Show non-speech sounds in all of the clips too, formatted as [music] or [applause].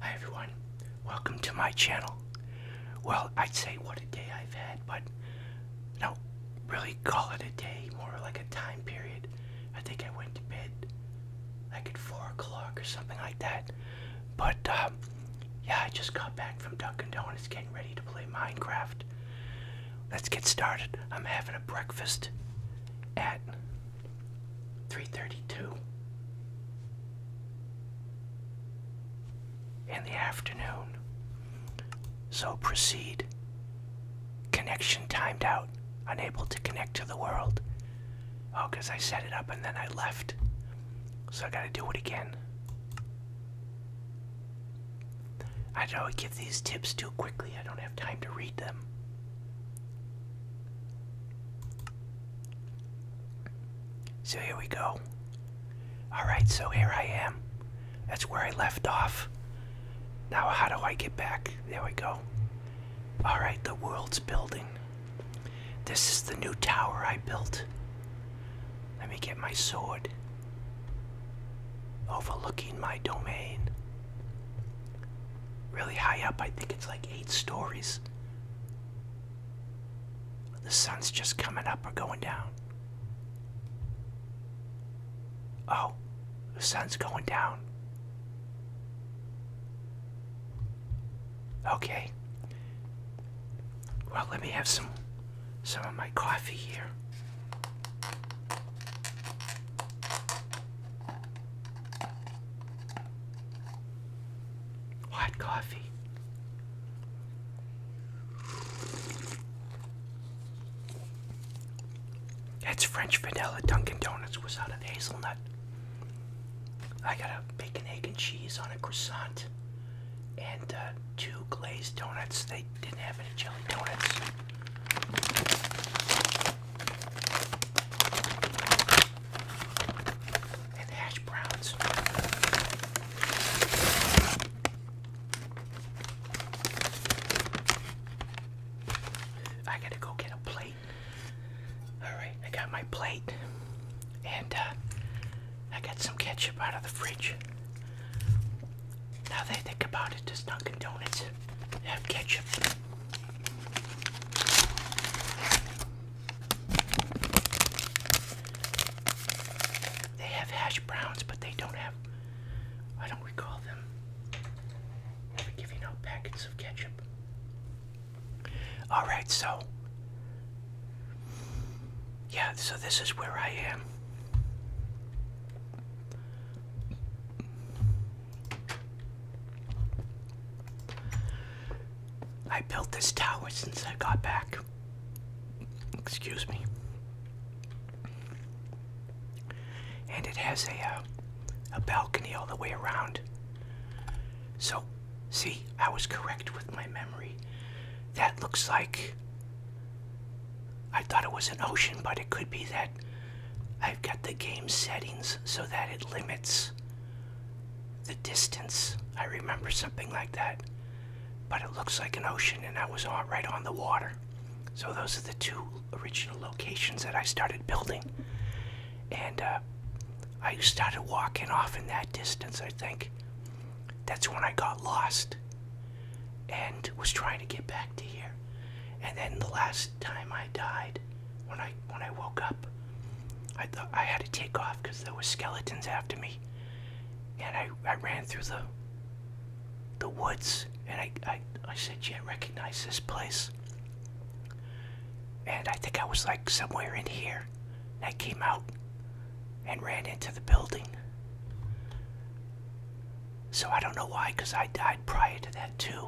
Hi everyone, welcome to my channel. Well, I'd say what a day I've had, but no, really call it a day, more like a time period. I think I went to bed like at 4 o'clock or something like that. But um, yeah, I just got back from Dunkin' Donuts getting ready to play Minecraft. Let's get started. I'm having a breakfast at 3:32 in the afternoon. So proceed. Connection timed out, unable to connect to the world. Oh, because I set it up and then I left. So I gotta do it again. I don't give these tips too quickly. I don't have time to read them. So here we go. Alright, so here I am. That's where I left off. Now, how do I get back? There we go. Alright, the world's building. This is the new tower I built. Let me get my sword. Overlooking my domain. Really high up, I think it's like eight stories. The sun's just coming up or going down. Oh, the sun's going down. Okay. Well, let me have some some of my coffee here. White coffee. It's French vanilla Dunkin' Donuts without an hazelnut. I got a bacon, egg, and cheese on a croissant and uh, two glazed donuts. They didn't have any jelly donuts and hash browns. I gotta go get a plate. Alright, I got my plate. And uh, I got some ketchup out of the fridge. Now they think about it, does Dunkin' Donuts have ketchup? They have hash browns, but they don't have, I don't recall them ever giving out packets of ketchup. Alright, so, yeah, so this is where I am. I built this tower since I got back. Excuse me. And it has a uh, a balcony all the way around. So, see, I was correct with my memory. That looks like I thought it was an ocean, but it could be that I've got the game settings so that it limits the distance. I remember something like that. But it looks like an ocean, and I was right on the water. So those are the two original locations that I started building. And uh, I started walking off in that distance, I think. That's when I got lost and was trying to get back to here. And then the last time I died, when I when I woke up. I thought I had to take off because there were skeletons after me, and I I ran through the the woods and I I I said, "Yeah, recognize this place." And I think I was like somewhere in here. And I came out and ran into the building. So I don't know why, because I died prior to that too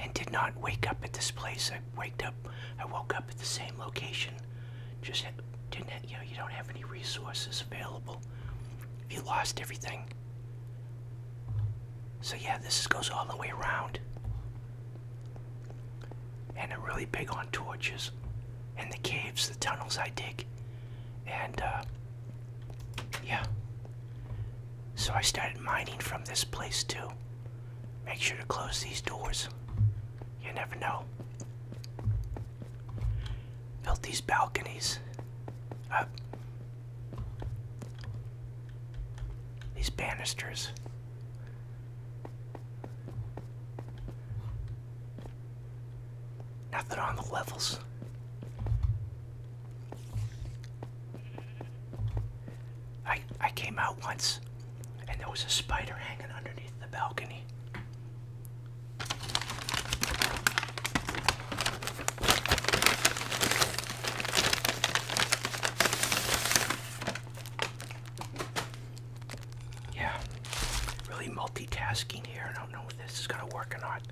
and did not wake up at this place. I waked up, I woke up at the same location. Just didn't, have, you know, you don't have any resources available. You lost everything. So yeah, this goes all the way around. And I'm really big on torches and the caves, the tunnels I dig. And uh, yeah, so I started mining from this place too. Make sure to close these doors. You never know. Built these balconies up. These banisters. Nothing on the levels. I I came out once and there was a spider hanging underneath the balcony. Yeah, really multitasking here. I don't know if this is gonna work or not.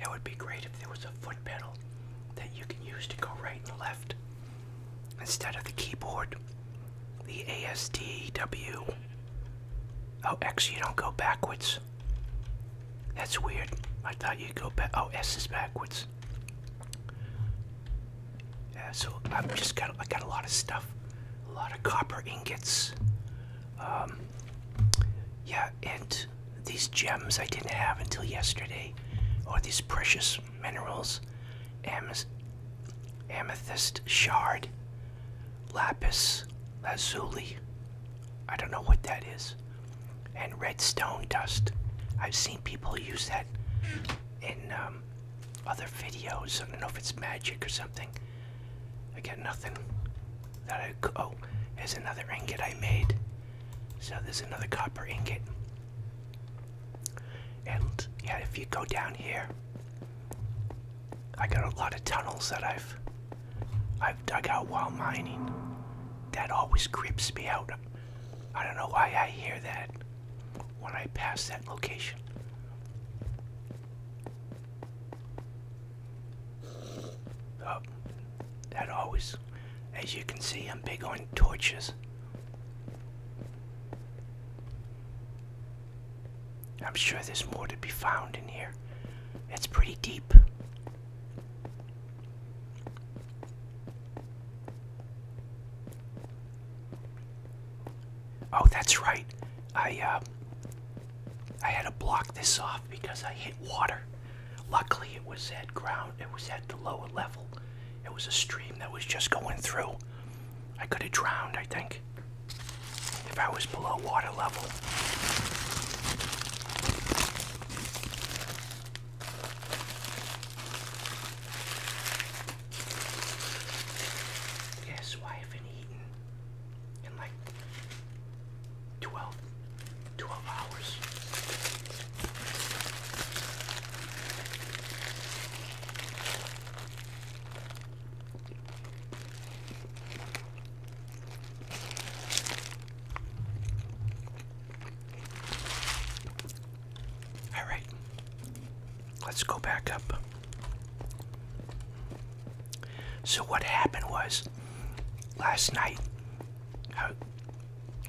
It would be great if there was a foot pedal that you can use to go right and left instead of the keyboard. The A S D W. Oh, X, you don't go backwards. That's weird. I thought you go back. Oh, S is backwards. Yeah, so I've just got I got a lot of stuff, a lot of copper ingots. Um, yeah, and these gems I didn't have until yesterday, or these precious minerals, amethyst shard, lapis lazuli. I don't know what that is. And redstone dust. I've seen people use that in um, other videos. I don't know if it's magic or something. I got nothing that I. Oh, there's another ingot I made. So there's another copper ingot. And yeah, if you go down here, I got a lot of tunnels that I've I've dug out while mining. That always creeps me out. I don't know why I hear that when I pass that location. Oh, that always, as you can see, I'm big on torches. I'm sure there's more to be found in here. It's pretty deep. Oh, that's right. I uh, I had to block this off because I hit water. Luckily, it was at ground. It was at the lower level. It was a stream that was just going through. I could have drowned, I think if I was below water level. Yes, why I haven't eaten in like 12, hours. All right, let's go back up. So, what happened was last night I,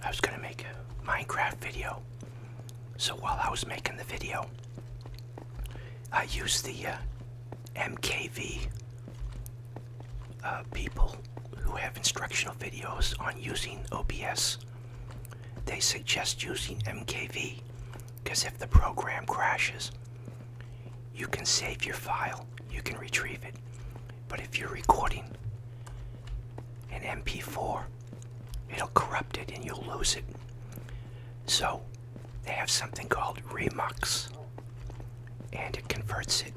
I was going to make a Minecraft video. So, while I was making the video, I use the uh, MKV uh, people who have instructional videos on using OBS. They suggest using MKV because if the program crashes, you can save your file, you can retrieve it. But if you're recording an MP4, it'll corrupt it and you'll lose it. So they have something called Remux, and it converts it.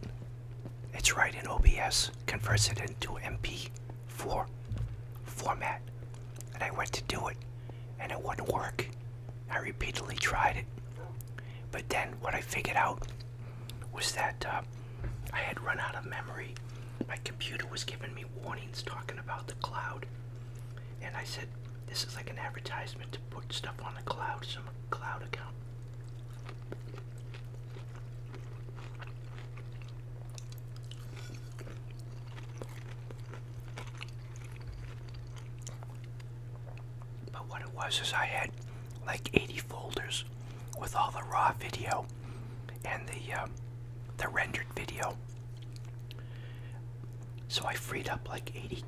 It's right in OBS, converts it into MP4 format. And I went to do it, and it wouldn't work. I repeatedly tried it. But then what I figured out was that uh, I had run out of memory. My computer was giving me warnings talking about the cloud. And I said, this is like an advertisement to put stuff on the cloud, some cloud account. But what it was is I had like 80 folders with all the raw video and the uh, the rendered video so I freed up like 80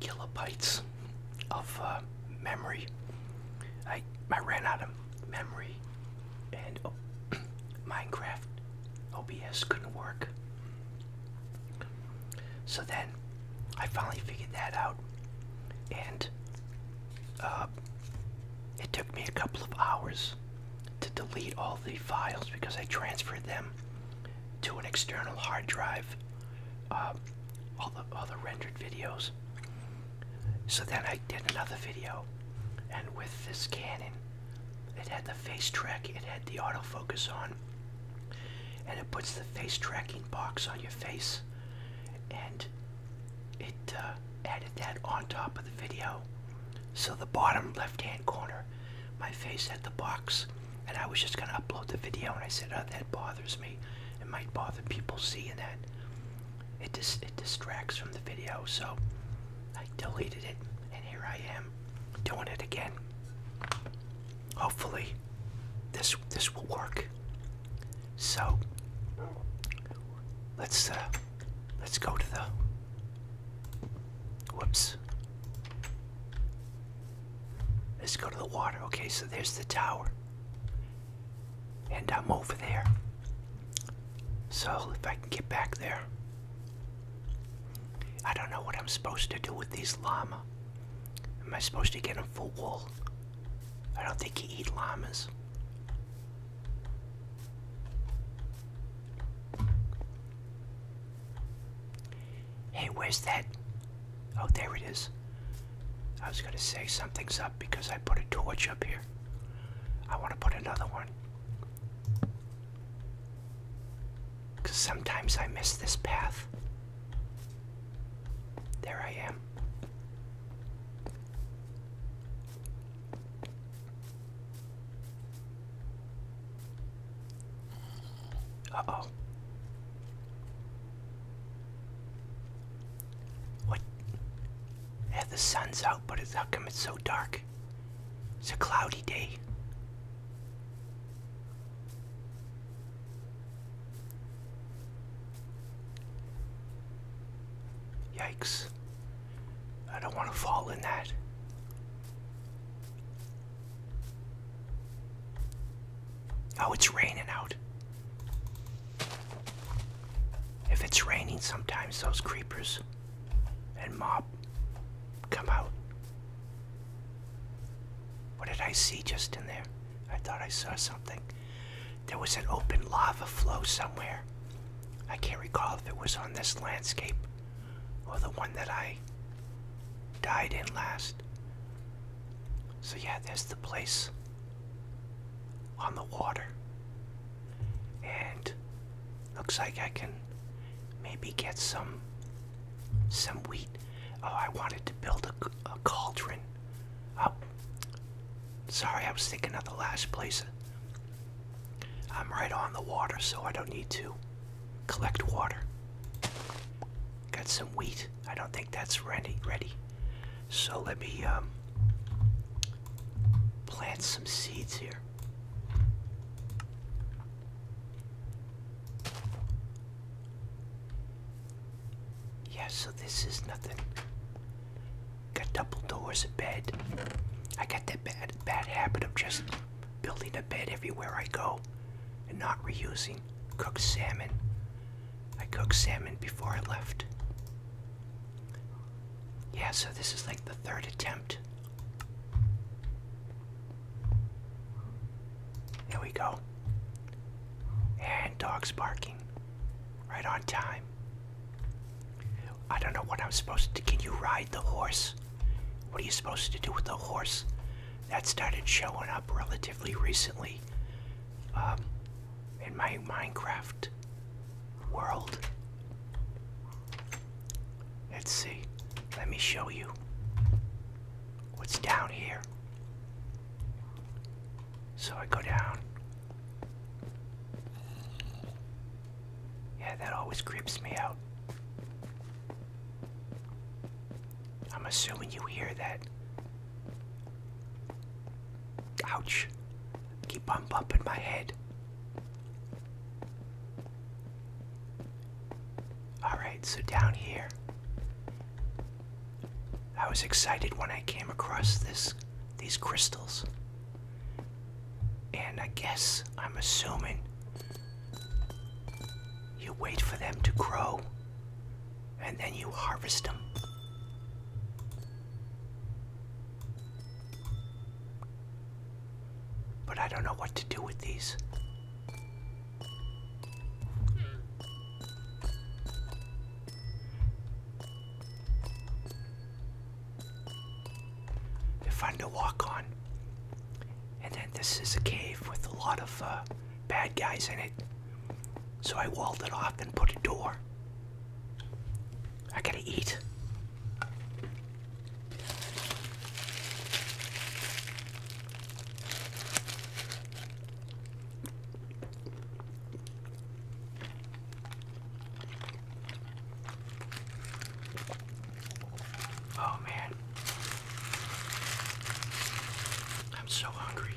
kilobytes of uh, memory. I I ran out of memory, and oh, [clears throat] Minecraft OBS couldn't work. So then, I finally figured that out, and uh, it took me a couple of hours to delete all the files because I transferred them to an external hard drive, uh, all, the, all the rendered videos. So then I did another video, and with this Canon, it had the face track, it had the autofocus on, and it puts the face tracking box on your face, and it uh, added that on top of the video. So the bottom left-hand corner, my face had the box, and I was just gonna upload the video, and I said, "Oh, that bothers me. It might bother people seeing that. It dis it distracts from the video." So I deleted it, and here I am doing it again. Hopefully, this this will work. So let's uh, let's go to the Whoops. Let's go to the water. Okay, so there's the tower. And I'm over there. So if I can get back there. I don't know what I'm supposed to do with these llama. Am I supposed to get them for wool? I don't think you eat llamas. Hey, where's that? Oh, there it is. I was gonna say something's up because I put a torch up here. I wanna put another one. Because sometimes I miss this path. There I am. Uh-oh. What? Yeah, the sun's out, but it's, how come it's so dark? It's a cloudy day. Yikes. I don't want to fall in that. Oh, it's raining out. If it's raining, sometimes those creepers and mob come out. What did I see just in there? I thought I saw something. There was an open lava flow somewhere. I can't recall if it was on this landscape or the one that I died in last. So, yeah, there's the place on the water. And looks like I can maybe get some some wheat. Oh, I wanted to build a, a cauldron Oh, Sorry, I was thinking of the last place I'm right on the water, so I don't need to collect water. Got some wheat. I don't think that's ready. Ready. So let me um, plant some seeds here. Yeah, so this is nothing. Got double doors, a bed. I got that bad, bad habit of just building a bed everywhere I go and not reusing cooked salmon. I cooked salmon before I left. Yeah, so this is like the third attempt. There we go. And dogs barking. Right on time. I don't know what I'm supposed to. Can you ride the horse? What are you supposed to do with the horse? That started showing up relatively recently um, in my Minecraft world. Let's see. Let me show you what's down here. So I go down. Yeah, that always creeps me out. I'm assuming you hear that. Ouch. Keep bumping my head. Alright, so down here. I was excited when I came across this these crystals. And I guess I'm assuming you wait for them to grow and then you harvest them. But I don't know what to do with these. They're fun to walk on. And then this is a cave with a lot of uh, bad guys in it. So I walled it off and put a door. I gotta eat. Oh man. I'm so hungry.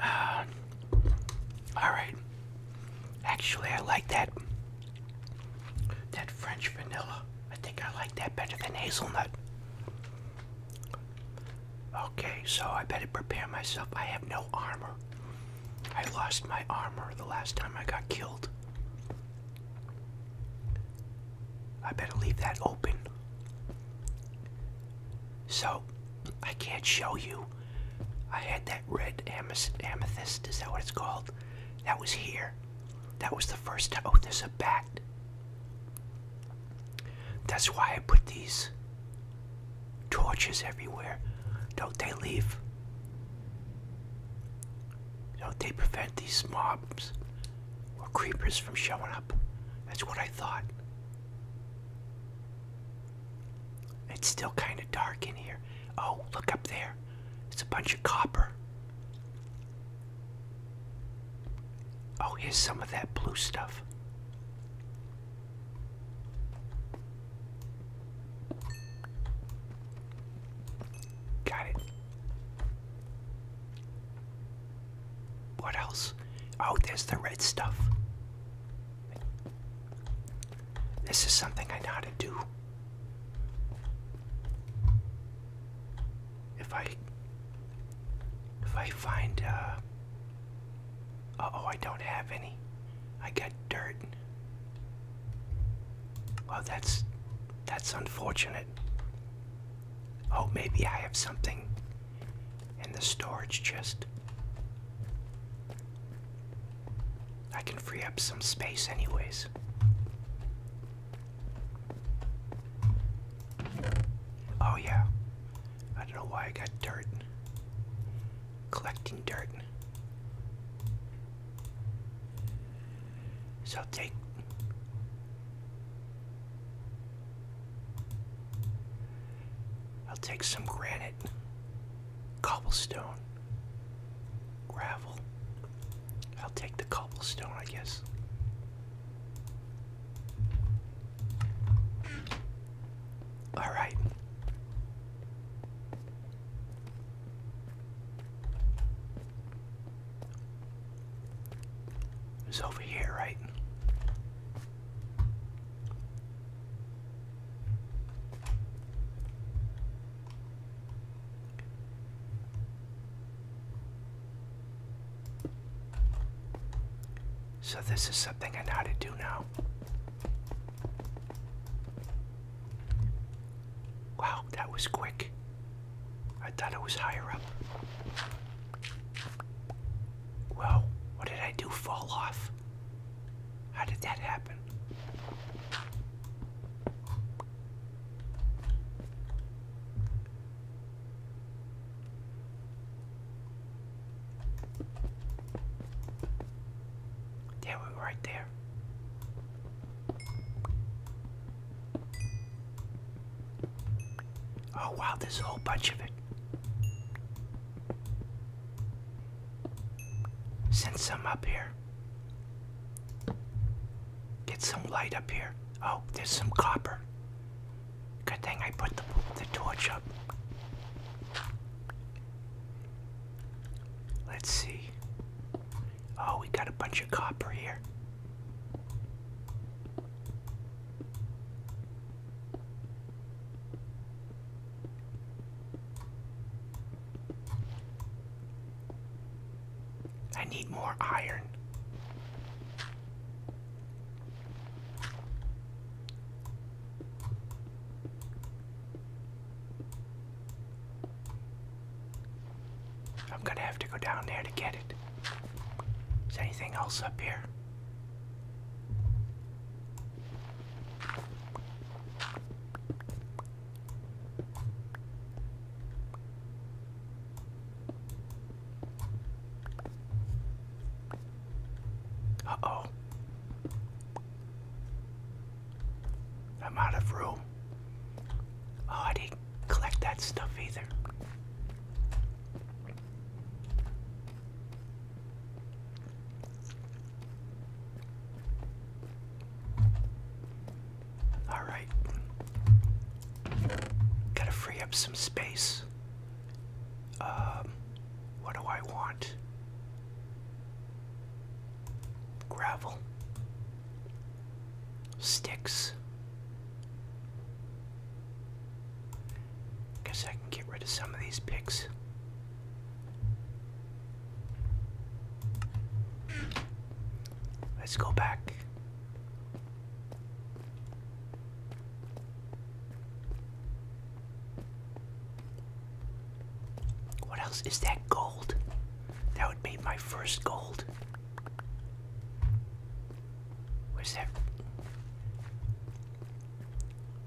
Uh, all right. Actually, I like that that French vanilla. I think I like that better than hazelnut. Okay, so I better prepare myself. I have no armor. I lost my armor the last time I got killed. I better leave that open. So, I can't show you. I had that red amethyst, amethyst, is that what it's called? That was here. That was the first time. Oh, there's a bat. That's why I put these Torches everywhere. Don't they leave? Don't they prevent these mobs or creepers from showing up? That's what I thought. It's still kind of dark in here. Oh, look up there. It's a bunch of copper. Oh, here's some of that blue stuff. Got it. What else? Oh, there's the red stuff. This is something I know how to do. If I if I find uh, oh, I don't have any. I got dirt. Well, that's that's unfortunate. Oh, maybe I have something in the storage chest. I can free up some space anyways. Oh yeah. I don't know why I got dirt collecting dirt. So take I'll take some granite, cobblestone, gravel. I'll take the cobblestone, I guess. All right. It's over here, right? So this is something I know how to do now. Wow, that was quick. I thought it was higher up. Well, what did I do? Fall off? How did that happen? There we were right there. Oh wow, there's a whole bunch of it. Send some up here. Get some light up here. Oh, there's some copper. Good thing I put the, the torch up. Let's see. Oh, we got a bunch of copper here. I need more iron. I'm gonna have to go down there to get it. Is anything else up here? Uh oh. I'm out of room. Oh, I didn't collect that stuff either. All right. Gotta free up some space. Um, what do I want? Gravel. Sticks. Guess I can get rid of some of these picks. Let's go back. What else is that gold? That would be my first gold. Where's that?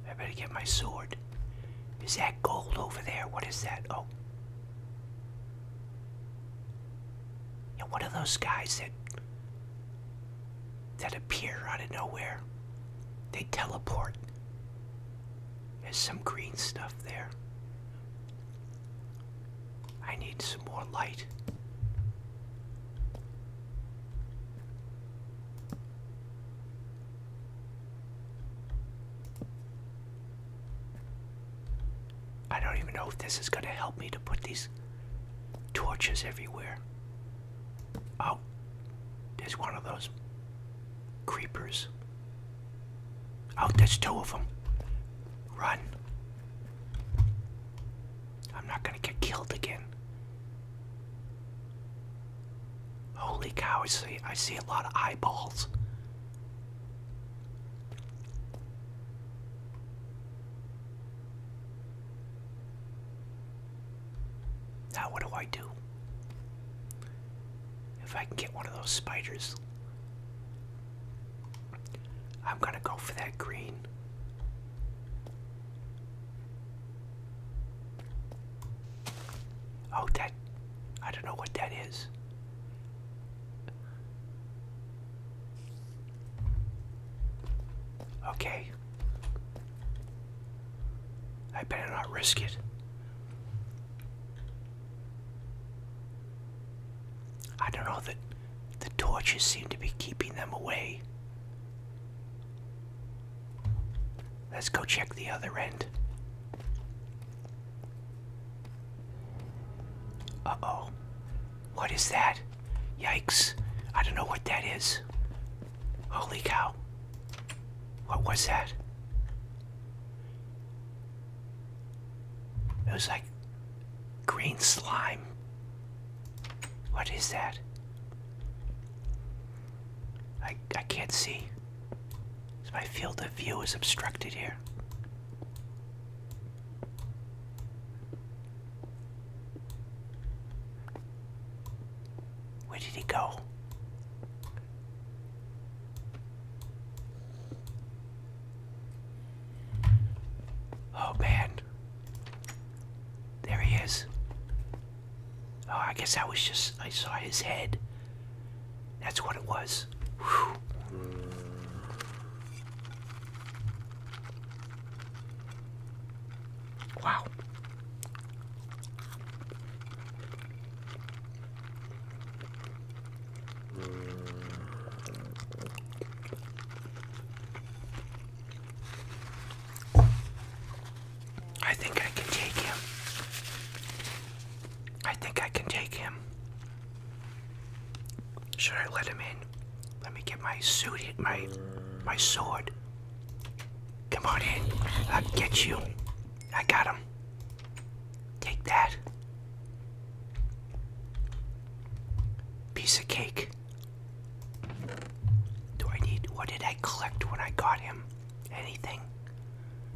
I better get my sword. Is that gold over there? What is that? Oh. Yeah, what are those guys that that appear out of nowhere. They teleport. There's some green stuff there. I need some more light. I don't even know if this is going to help me to put these torches everywhere. Oh, there's one of those creepers. Oh, there's two of them. Run. I'm not gonna get killed again. Holy cow, I see, I see a lot of eyeballs. Now, what do I do? If I can get one of those spiders, I'm going to go for that green. Oh, that. I don't know what that is. Okay. I better not risk it. I don't know that the torches seem to be keeping them away. Let's go check the other end. Uh oh. What is that? Yikes. I don't know what that is. Holy cow. What was that? It was like green slime. What is that? I, I can't see. my field of view is obstructed here. Where did he go? Oh man. There he is. Oh, I guess that was just, I saw his head. That's what it was. Wow. I think I can take him. I think I can take him. Should I let him in? Let me get my suit, my my sword. Come on in. I'll get you. I got him. Take that. Piece of cake. Do I need. What did I collect when I got him? Anything?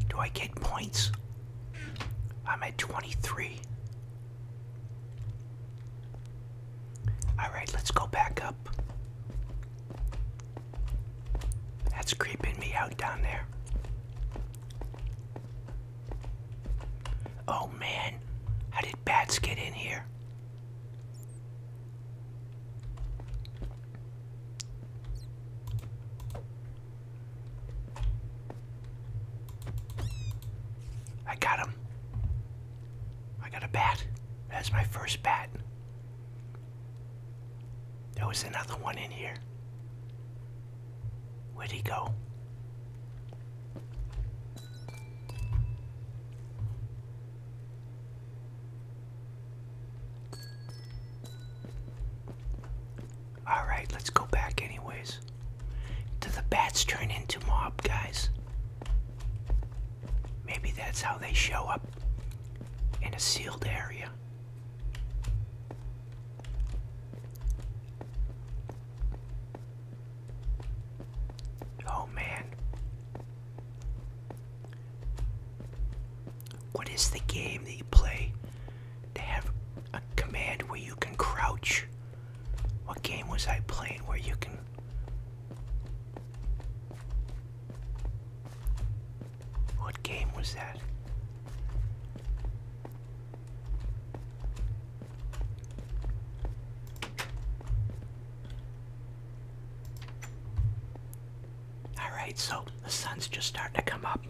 Do I get points? I'm at 23. All right, let's go back up. That's creeping me out down there. Oh man, how did bats get in here? I got him. I got a bat. That's my first bat. There was another one in here. Where'd he go? Alright, let's go back anyways. Do the bats turn into mob guys? Maybe that's how they show up in a sealed area. Oh man. What is the game that you play to have a command where you can crouch? What game was I playing where you can what game was that? Alright, so the sun's just starting to come up.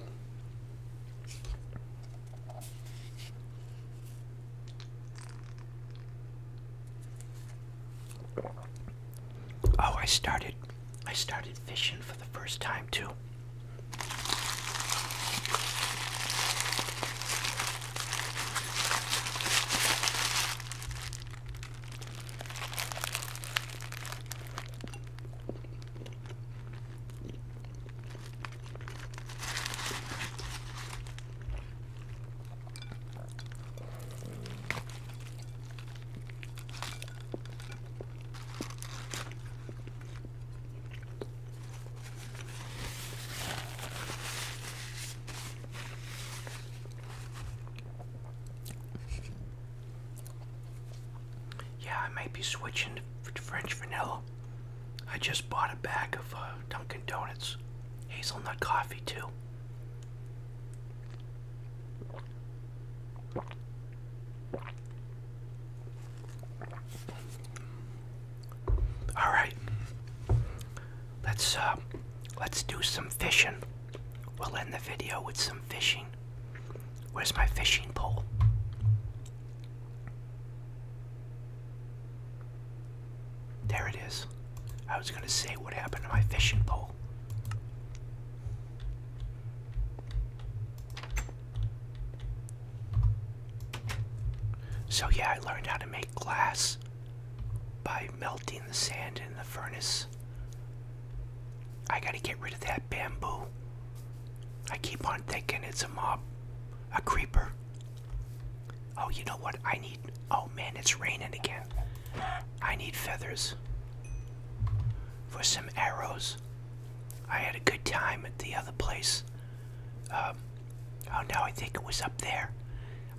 Oh, I started I started fishing for the first time too. Yeah, I might be switching to French vanilla. I just bought a bag of uh, Dunkin' Donuts hazelnut coffee too. All right. Let's uh let's do some fishing. We'll end the video with some fishing. Where's my fishing pole? There it is. I was going to say what happened to my fishing pole. So, yeah, I learned how to make glass by melting the sand in the furnace. I gotta get rid of that bamboo. I keep on thinking it's a mob, a creeper. Oh, you know what? I need. Oh man, it's raining again. I need feathers for some arrows. I had a good time at the other place. Um, oh now I think it was up there.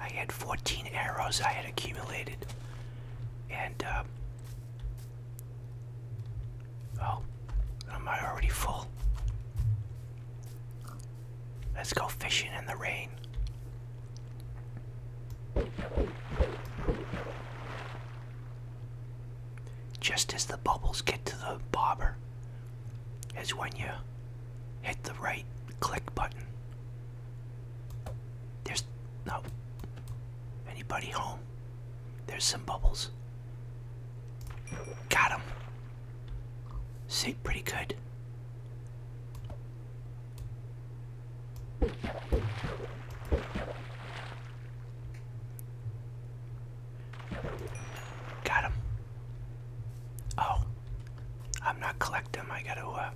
I had 14 arrows I had accumulated. And, uh, oh, am I already full? Let's go fishing in the rain. Just as the bubbles get to the bobber is when you hit the right click button. There's no anybody home. There's some bubbles. Got him. See, pretty good. Got him. Oh, I'm not collecting him. I gotta, uh,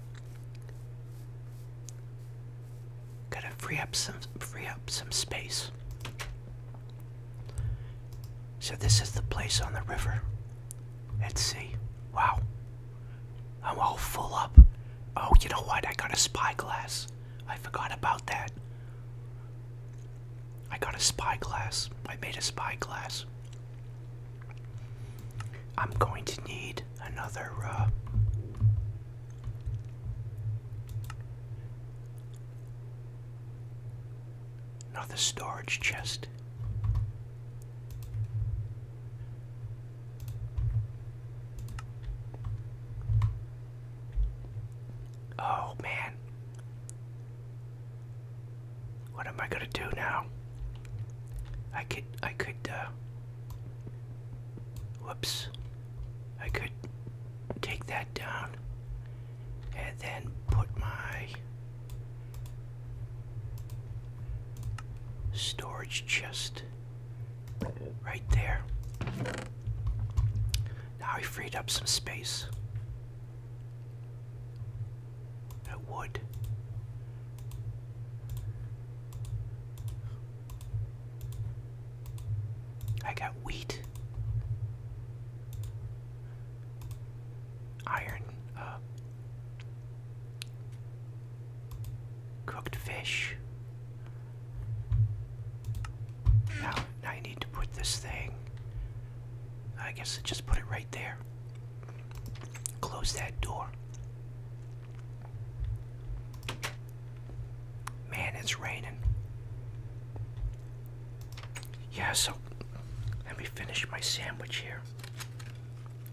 gotta free up some, free up some space. So this is the place on the river Let's see. Wow, I'm all full up. Oh, you know what? I got a spyglass. I forgot about that. I got a spyglass. I made a spyglass. I'm going to need another, uh, another storage chest. Oh man. What am I gonna do now? I could I could uh whoops. I could take that down and then put my Storage chest. Right there. Now I freed up some space. A wood. I got wheat iron, uh, cooked fish. Now, now you need to put this thing. I guess just put it right there. Close that door. Man, it's raining. Yeah, so let me finish my sandwich here.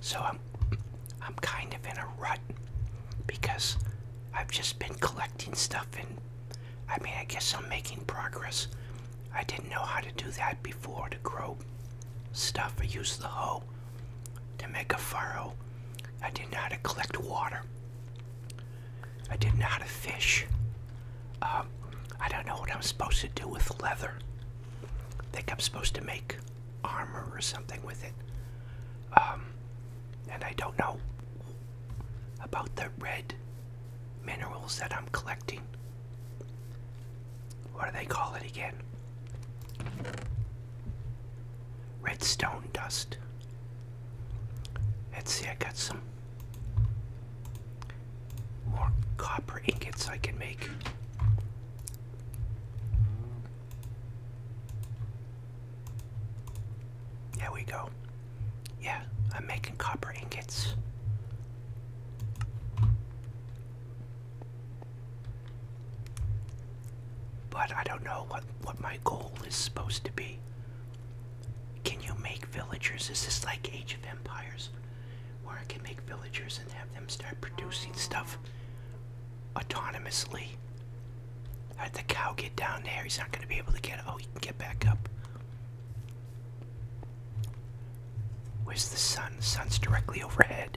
So I'm I'm kind of in a rut because I've just been collecting stuff and I mean I guess I'm making progress. I didn't know how to do that before to grow stuff. I use the hoe to make a furrow, I didn't know how to collect water. I didn't know how to fish. Um, I don't know what I'm supposed to do with leather. I think I'm supposed to make armor or something with it. Um, and I don't know about the red minerals that I'm collecting. What do they call it again? Redstone dust. Let's see, I got some more copper ingots I can make. There we go. Yeah, I'm making copper ingots. But I don't know what, what my goal is supposed to be. Can you make villagers? Is this like Age of Empires? Where I can make villagers and have them start producing stuff autonomously. I had the cow get down there. He's not going to be able to get Oh, he can get back up. Where's the sun? The sun's directly overhead.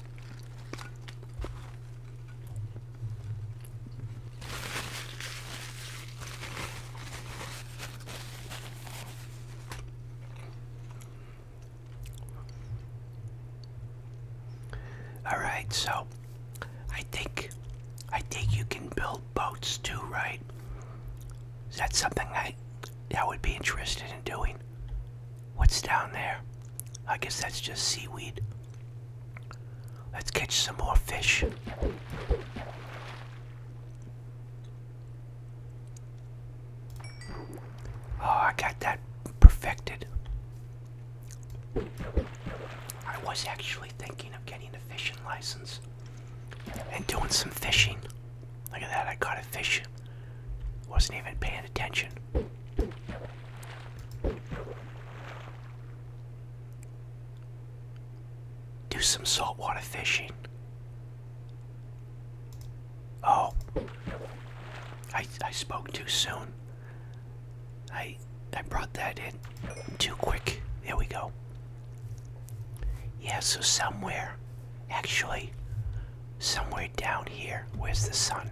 All right, so I think I think you can build boats too, right? Is that something I I would be interested in doing? What's down there? I guess that's just seaweed. Let's catch some more fish. Oh, I got that perfected. I was actually thinking of getting a fishing license and doing some fishing. Look at that, I caught a fish. Wasn't even paying attention. Do some saltwater fishing. Oh, I, I spoke too soon. I I brought that in too quick. There we go. Yeah, so somewhere, actually, somewhere down here, where's the sun?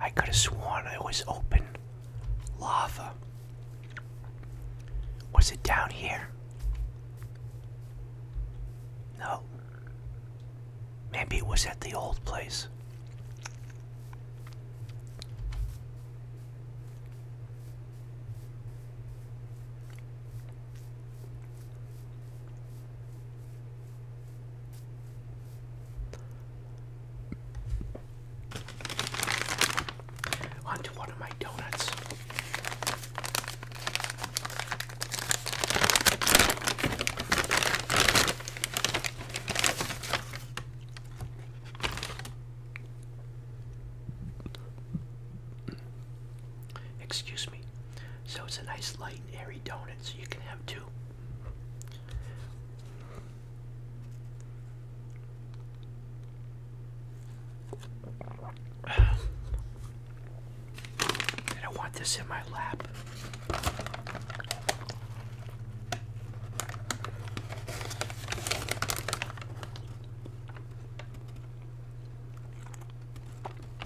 I could have sworn it was open lava. Was it down here? No. Maybe it was at the old place. Onto one of my donuts. Excuse me. So it's a nice light airy donut opponent, so you can have two. [sighs] want this in my lap.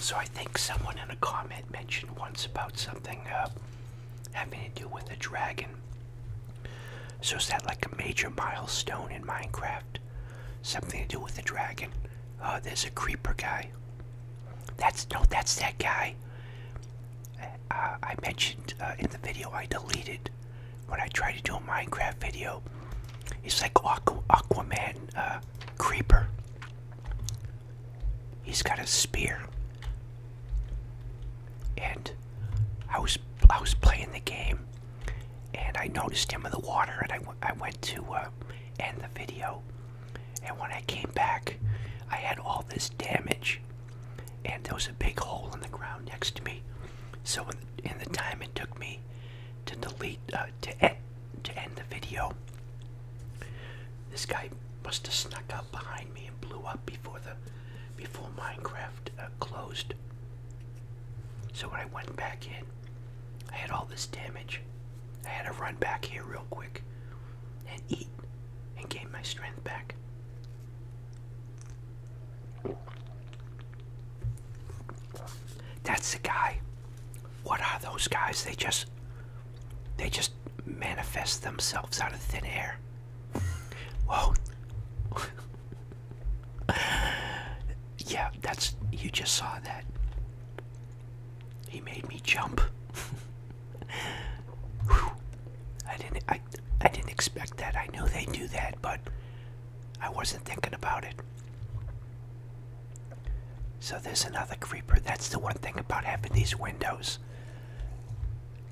So I think someone in a comment mentioned once about something uh, having to do with a dragon. So is that like a major milestone in Minecraft? Something to do with the dragon. Oh, there's a creeper guy. That's no, that's that guy. Uh, I mentioned uh, in the video I deleted when I tried to do a Minecraft video. It's like Aqu Aquaman creeper. He's got a spear. And I was I was playing the game and I noticed him in the water, and I, went to uh, end the video. And when I came back, I had all this damage, and there was a big hole in the ground next to me. So in the, time it took me to delete, uh, to, end, the video, this guy must have snuck up behind me and blew up before the before Minecraft uh, closed. So when I went back in, I had all this damage. I had to run back here real quick and eat and gain my strength back. That's the guy. What are those guys? They just they just manifest themselves out of thin air. Whoa. [laughs] [laughs] yeah, that's you just saw that. He made me jump. [laughs] I didn't I I didn't expect that. I knew they do that, but I wasn't thinking about it. So there's another creeper. That's the one thing about having these windows.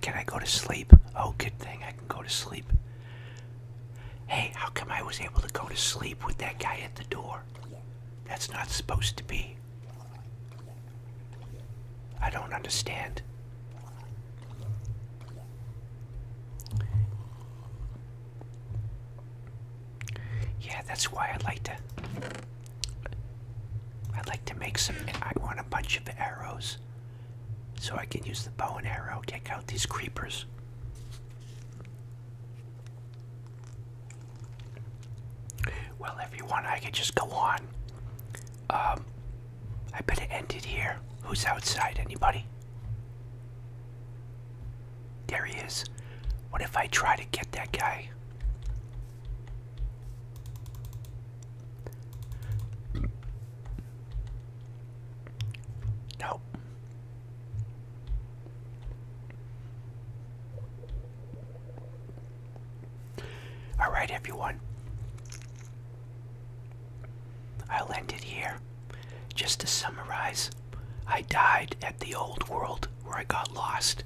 Can I go to sleep? Oh, good thing I can go to sleep. Hey, how come I was able to go to sleep with that guy at the door? That's not supposed to be. I don't understand. Yeah, that's why I like to. I like to make some. I want a bunch of arrows, so I can use the bow and arrow take out these creepers. Well, if you want, I could just go on. Um, I better end it here. Who's outside? Anybody? There he is. What if I try to get that guy? Nope. All right, everyone. I'll end it here. Just to summarize, I died at the old world where I got lost,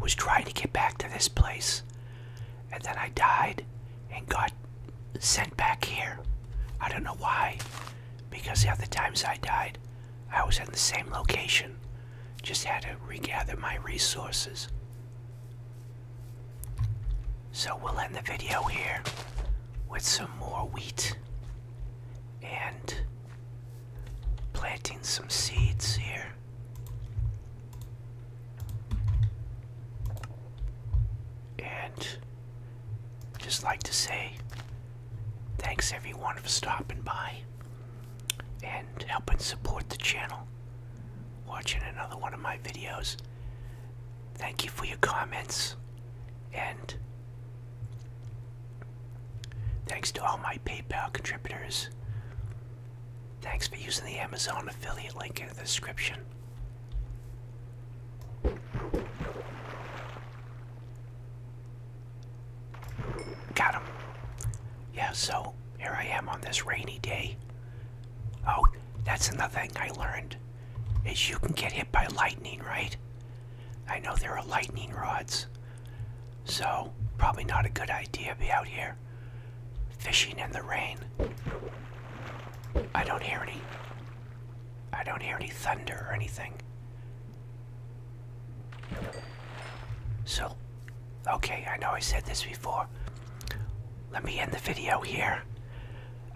was trying to get back to this place, and then I died and got sent back here. I don't know why because at the times I died, I was in the same location. Just had to regather my resources. So we'll end the video here with some more wheat and planting some seeds here and just like to say thanks everyone for stopping by and helping support the channel, watching another one of my videos. Thank you for your comments and thanks to all my PayPal contributors. Thanks for using the Amazon affiliate link in the description. Got him. Yeah, so here I am on this rainy day. Oh, that's another thing I learned is you can get hit by lightning, right? I know there are lightning rods. So, probably not a good idea to be out here fishing in the rain. I don't hear any I don't hear any thunder or anything. So, okay, I know I said this before. Let me end the video here.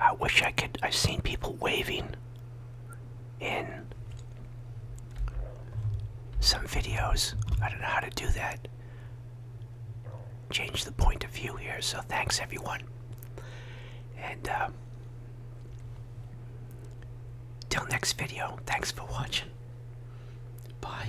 I wish I could. I've seen people waving in some videos. I don't know how to do that. Change the point of view here, so thanks everyone. And uh, till next video, thanks for watching. Bye.